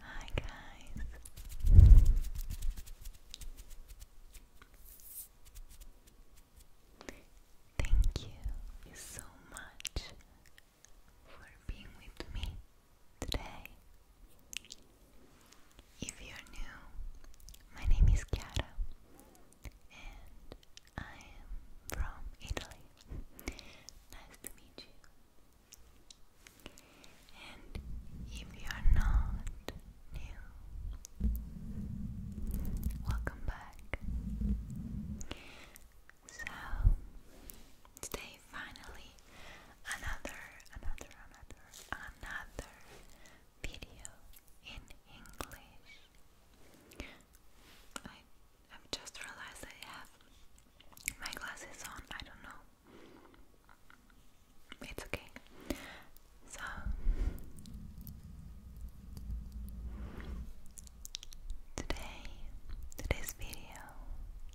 Hi guys. Thank you so much for being with me today. If you're new, my name is Chiara and I am from Italy. Nice to meet you. And if you are not new, welcome back. So today finally another another another another video in English. I've just realized I have my glasses on. I don't know. It's okay. So today, today's video,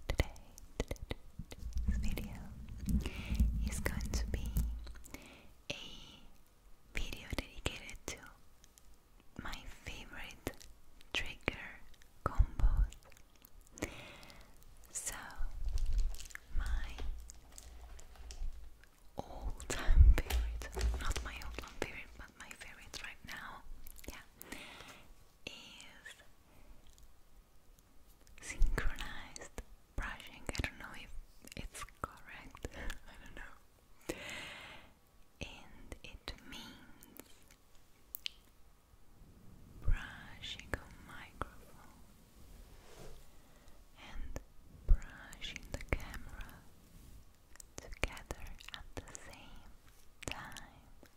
today, today's video is going to be a video dedicated to my favorite trigger combos so, my all time period, not my all time period, but my favorite right now, yeah, is synchronized brushing. I don't know if it's correct, I don't know. And it means brushing a microphone and brushing the camera together at the same time.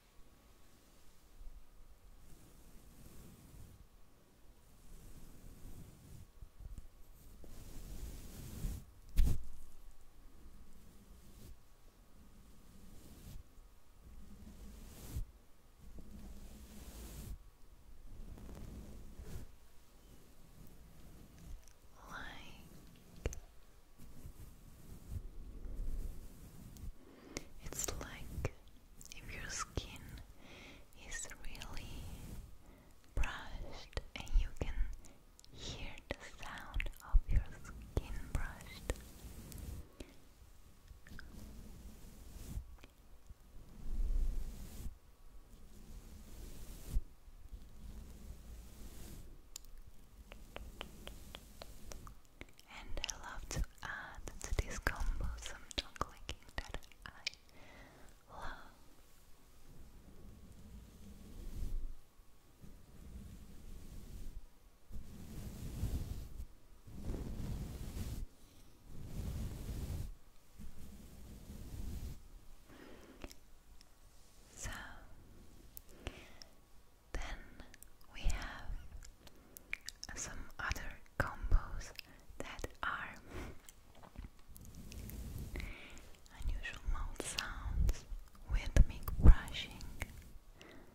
Like it's like if your skin is really brushed and you can hear the sound of your skin brushed. And I love to add to this combo some tongue that I love. So then we have some other combos that are unusual mouth sounds, rhythmic brushing,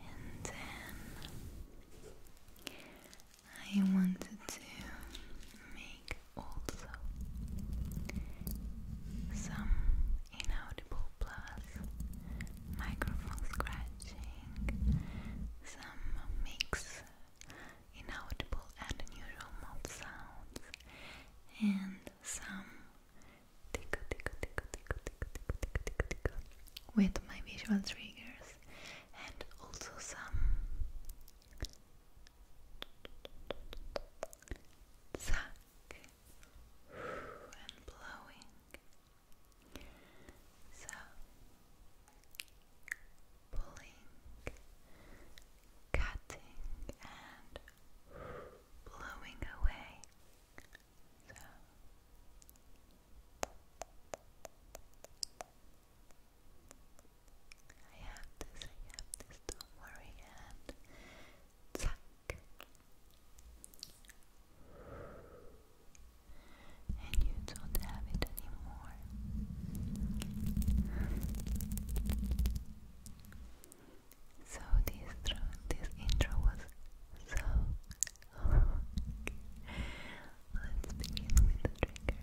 and then I wanted to make also some inaudible plus microphone scratching, some mix inaudible and unusual mouth sounds, and some with my visual triggers and also some suck and blowing. So pulling, cutting and blowing away so I have this, don't worry, and tuck. And you don't have it anymore. So this this intro was so Let's begin with the triggers.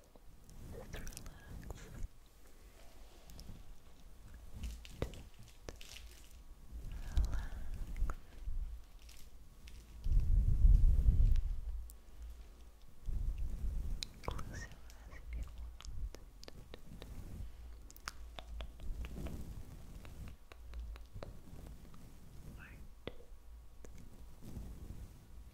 Just relax. relax. Close your eyes if you want. Right.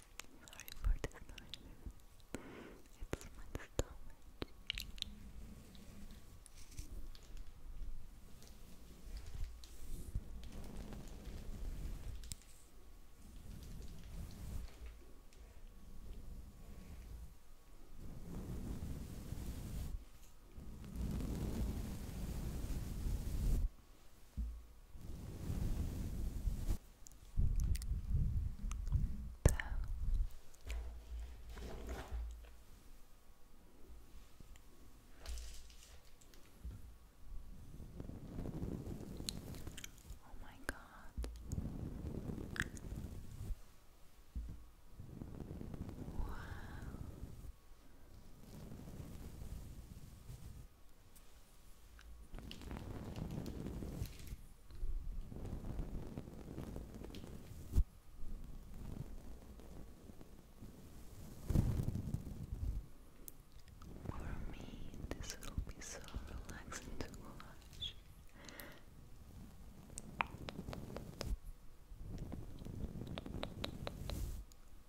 Sorry for the noise. It's my stomach. So. Oh my God. Wow. For me, this will be so relaxing to watch.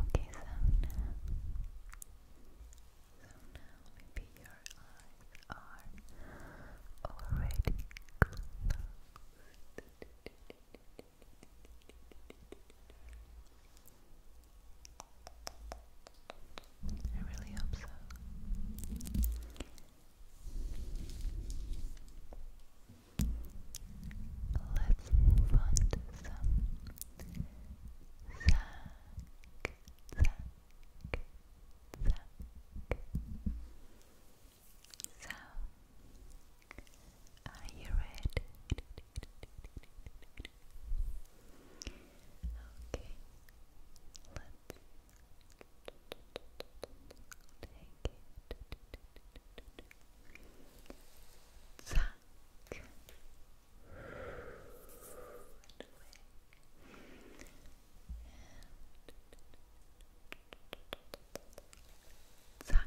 Okay, so now, so now maybe your eyes are already closed. I really hope so. Let's move on to some are you ready? Okay, it. Zack. Zack. Zack. Zack.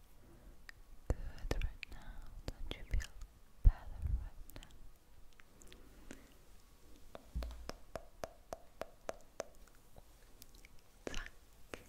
good right now? Don't you feel better right now? Zack. Zack.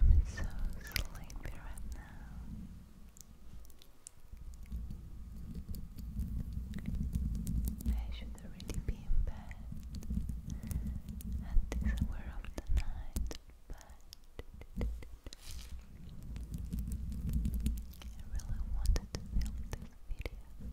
I'm so sleepy right now. I should already be in bed at this hour of the night, but I really wanted to film this video.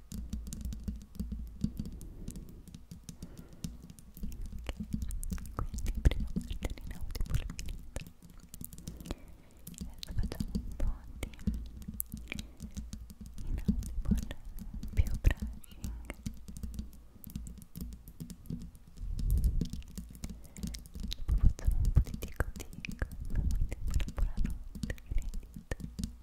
quindi prima mascherina un tipo finita adesso facciamo un po' di inaudible più brushing dopo facciamo un po' di tico tico dopo un po' la buonanotte finita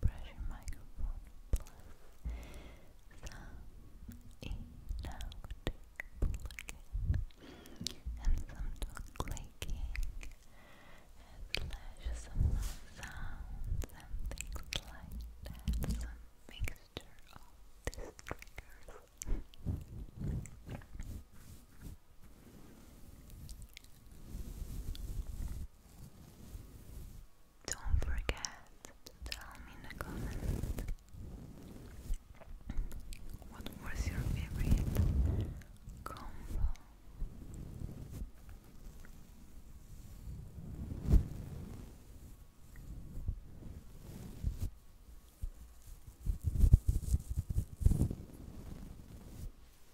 Pressure microphone plus some inaudible plugin and some dog and some sounds and things like that. Some mixture of these triggers. Don't forget to tell me in the comments what was your favorite combo.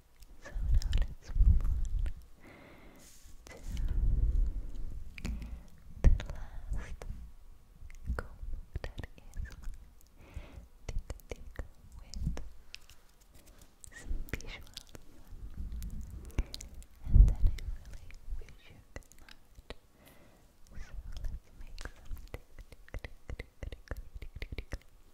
So now let's move on to the last comb that is tick tick with visuals. And then I really wish you So let's make some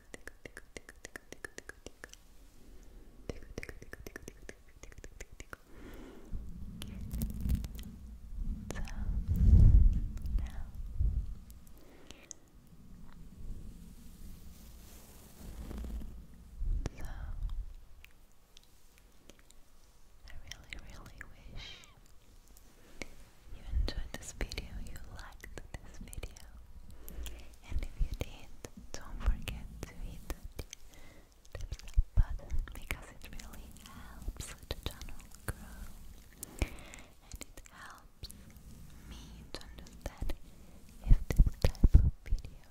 really wish you enjoyed this video, you liked this video. And if you did, don't forget to hit the thumbs button because it really helps the channel grow and it helps me to understand if this type of video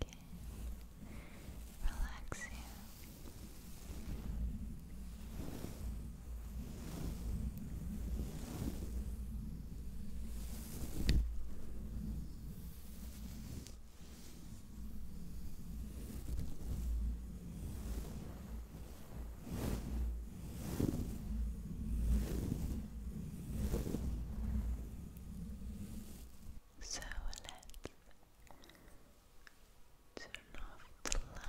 can relax you. So let's turn off the lights.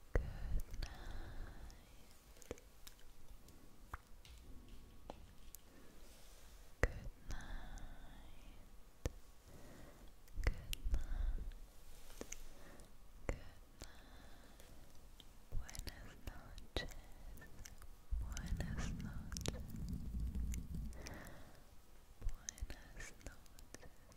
Good night. Good night. Good night. Good night. Buenas noches. Buenas noches. Buenas noches.